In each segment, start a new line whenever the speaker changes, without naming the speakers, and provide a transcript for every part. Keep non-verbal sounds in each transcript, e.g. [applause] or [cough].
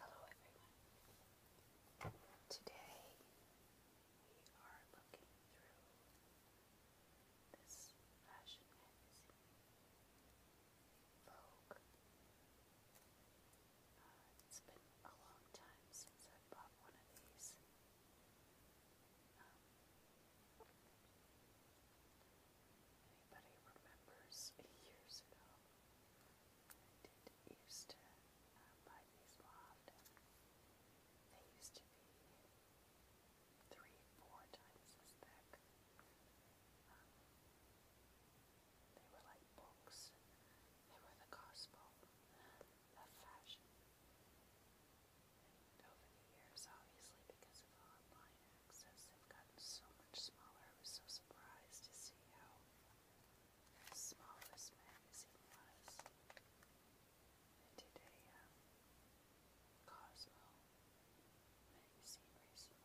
Hello everyone. Today we are looking through this fashion magazine, uh, it's been a long time since I bought one of these. Um, Anybody remembers years ago, I used to uh, these more They used to be three, four times as thick. Um, they were like books. They were the gospel of fashion. And over the years, obviously because of online access have so much smaller. I was so surprised to see how small this magazine was. I did um, Cosmo magazine recently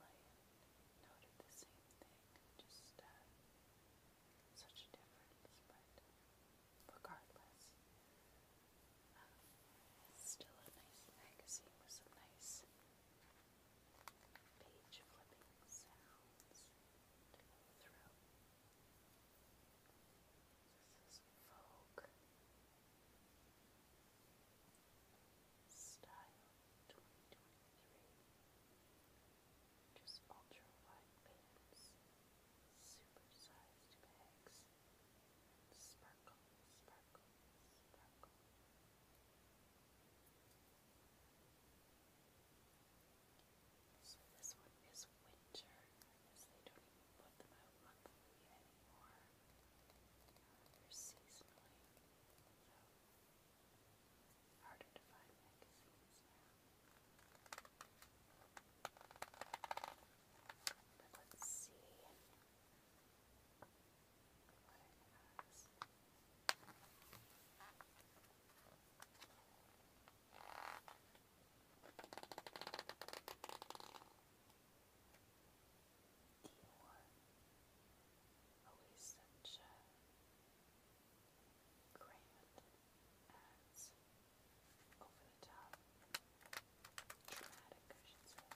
noted the same thing. Just uh, such a difference, but regardless. it's uh, still a nice magazine with some nice page flipping sounds to go through. This is Vogue Style 2023. Just ultra wide pants, super-sized bags, sparkle, sparkle, sparkle. So this one is winter. I they don't even put them out monthly anymore. they're seasonally. harder to find magazines But let's see what it has. Eeyore, always such a grand as over the top, dramatic, I should say.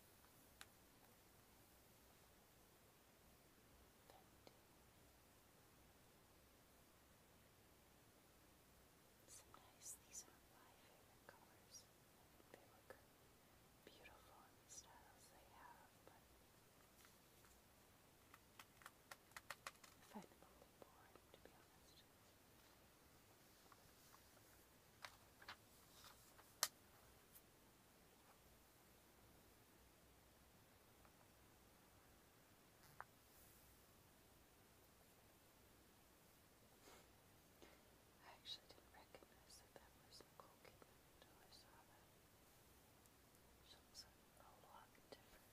Sometimes these are my favorite colors. They beautiful in the styles they have, but I find a little boring, to be honest. I actually didn't recognize that that was Nicole until I saw that. She looks a lot different now.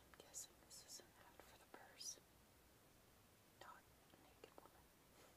I'm guessing this is an ad for the purse, not a naked woman. Mark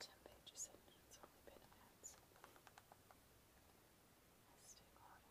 Ten pages in, and it's only been a minute. Let's take water.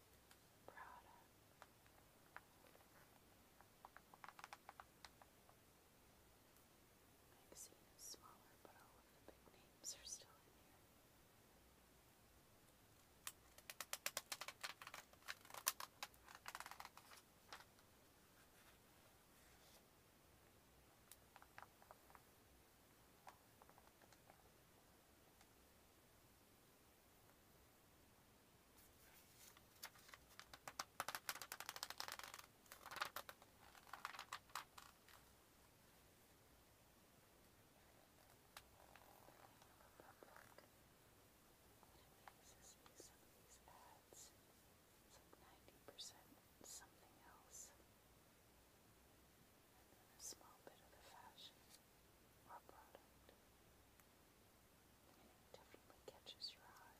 proud of. Magazine is smaller, but all of the big names are still in here. This amazes me, some of these ads, it's like 90% something else, and then a small bit of the fashion or a product, and it definitely catches your eye. All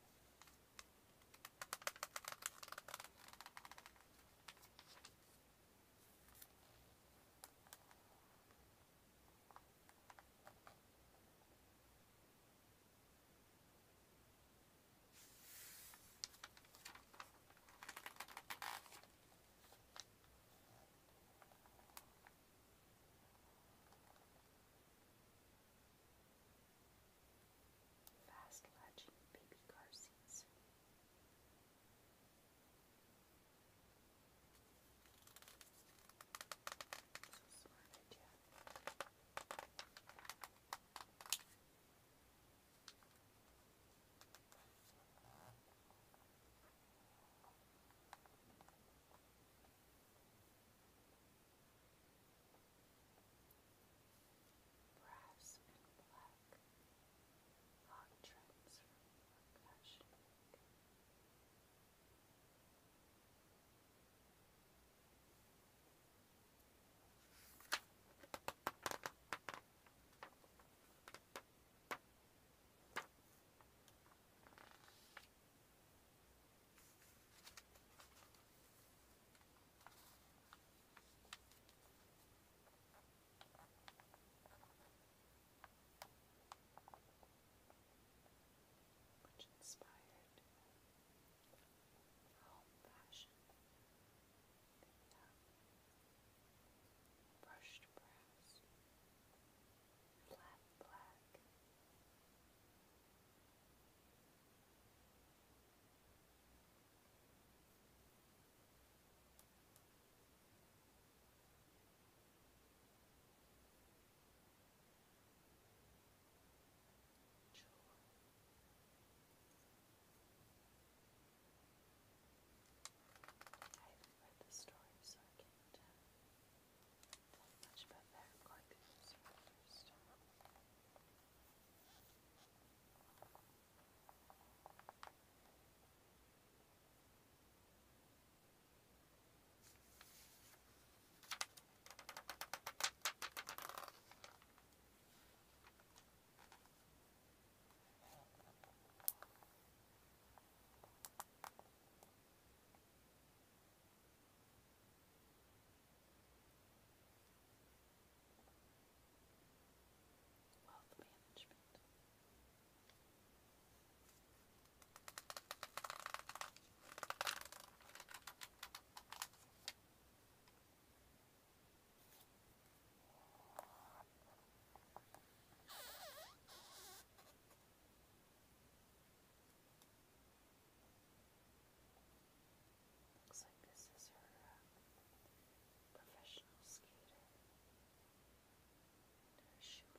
Fast latching baby car seats. So smart idea. Wow. Brass and black, hot trims from percussion. Black which inspired home fashion. The, um, brushed brass flat black. I haven't read the story, so I can't tell. Don't much about that. I'm going to this one first. All Wealth management. Looks like this is her uh, professional skater shoe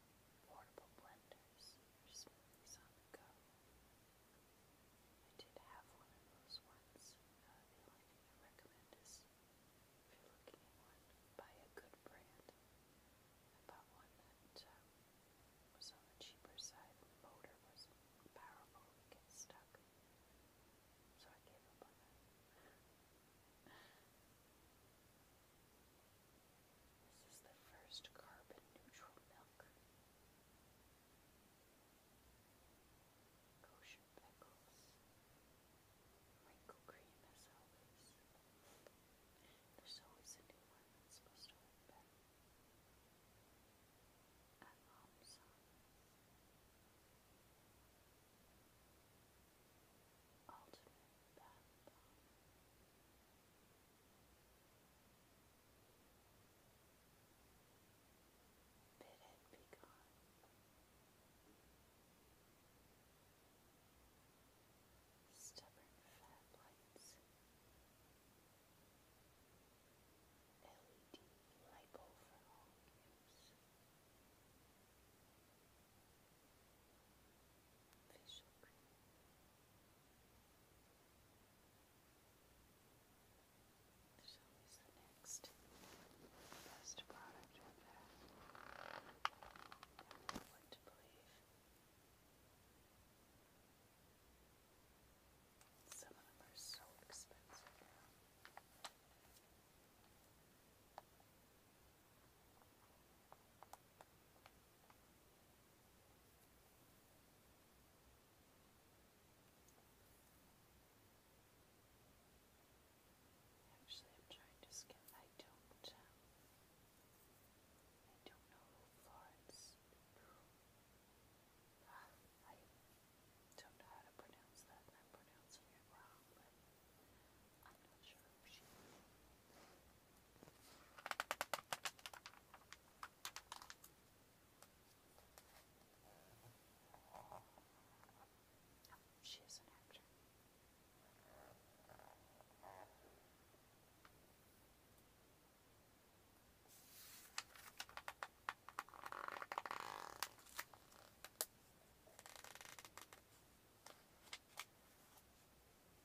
portable blenders or smoothies on the go. I did have one of those once. Uh, the only thing I recommend is if you're looking at one, buy a good brand. I bought one that um, was on the cheaper side motor wasn't powerful and get stuck. So I gave up on that. [laughs] This is the first carbon neutral milk. Kosher pickles. Wrinkle cream There's always a new one Ultimate bath bomb. Bid it be gone. Stubborn fat lights. for all use. Facial cream. There's always the next best product out there. I don't know what to believe. Some of them are so expensive now. Actually, I'm trying to skim. I don't. Um, I don't know who ah, I don't know how to pronounce that, I'm it wrong, I'm not sure if she Oh, she is an actor.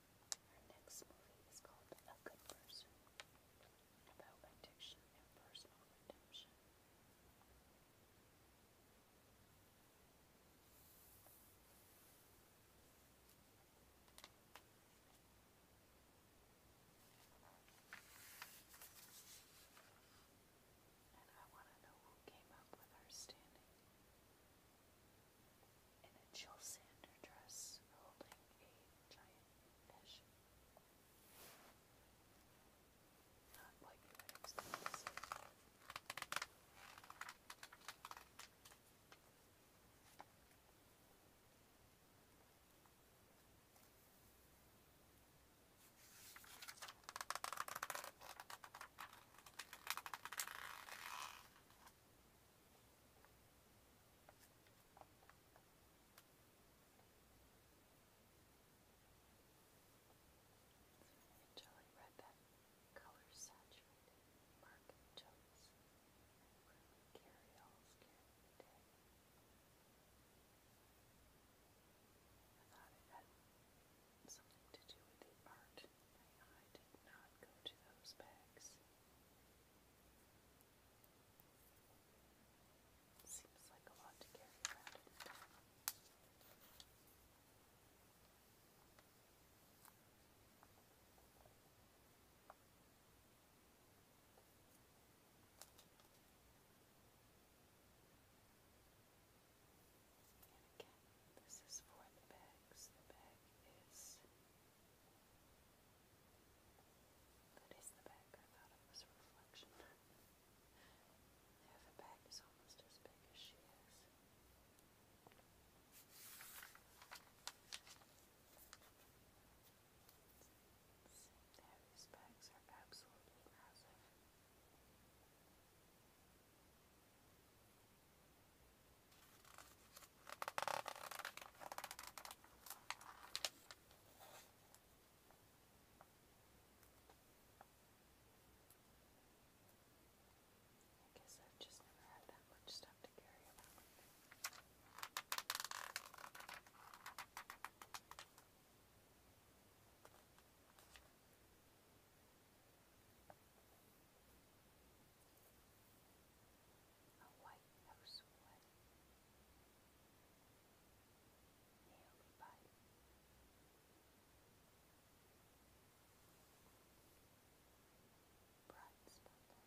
Her next movie is called A Good Person, about addiction and personal redemption. And I want to know who came up with her standing in a Jill Sander dress holding a giant fish. Not what you would Jelly Red that color saturated mark totes and really all scared I thought it had something to do with art. My did not go to those bags. Seems like a lot to carry around again, this is for the bags. The bag is that is the back. I thought it was a reflection. there, [laughs] the is almost as big as she is. There, bags are absolutely massive. I guess I've just never had that much stuff to carry around. I a white house away, nearly by. Bright spot. Bright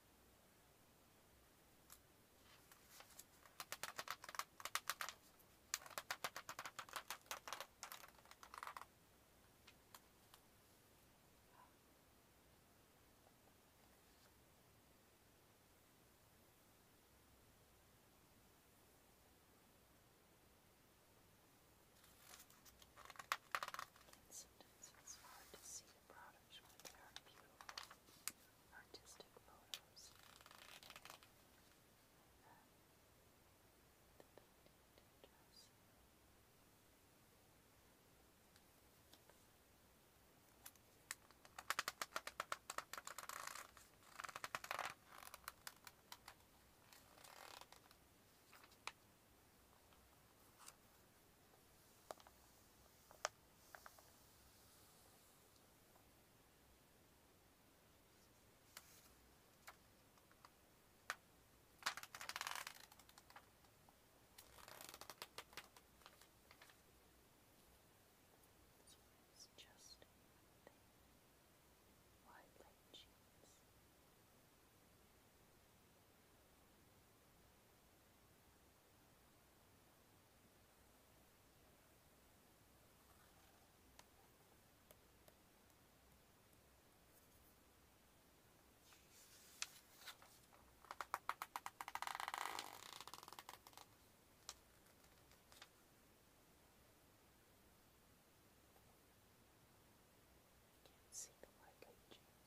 Sometimes it's hard to see the products when they are beautiful artistic photos. This one is just thin, wide leg jeans. This can't see the white legions,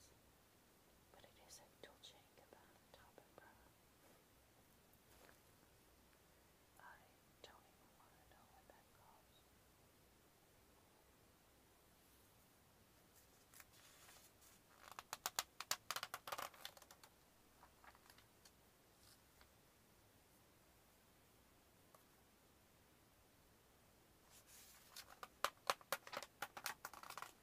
but it is a dual about the top I don't even want to know what that costs. I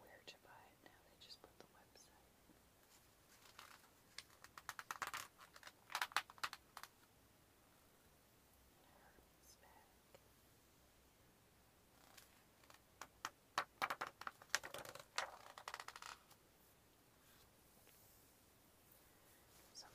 where to buy it now. They just put the website. Herb's back. Some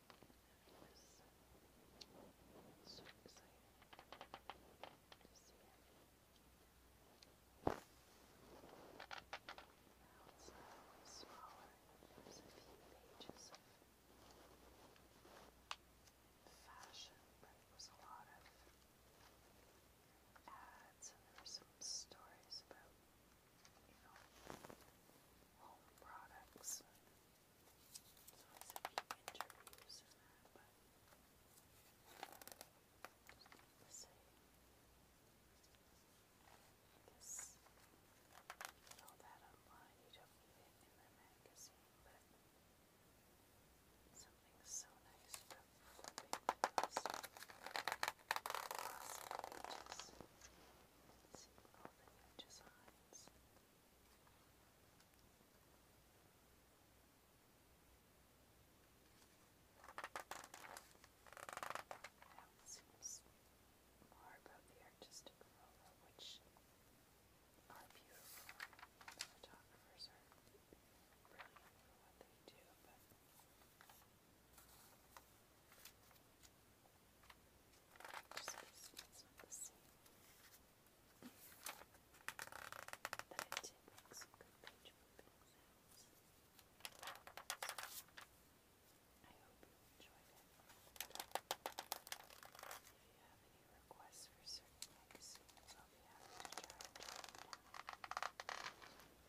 was so excited to see Now it's slightly smaller. There's a few pages of fashion, but it was a lot of ads and there were some stories about, you know, home products so it's a few interviews and that, but just like to say, I guess you get all that online, you don't need it in the magazine, but something so nice about flipping across pages. See all the new designs. It's now seems more about the artistic aroma, which are beautiful. photographers are brilliant for what they do, but it did make some good page moving sounds. So, I hope you enjoyed it. If you have any requests for certain magazines, I'll be happy to try and drop them down.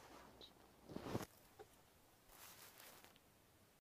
Thank you for watching.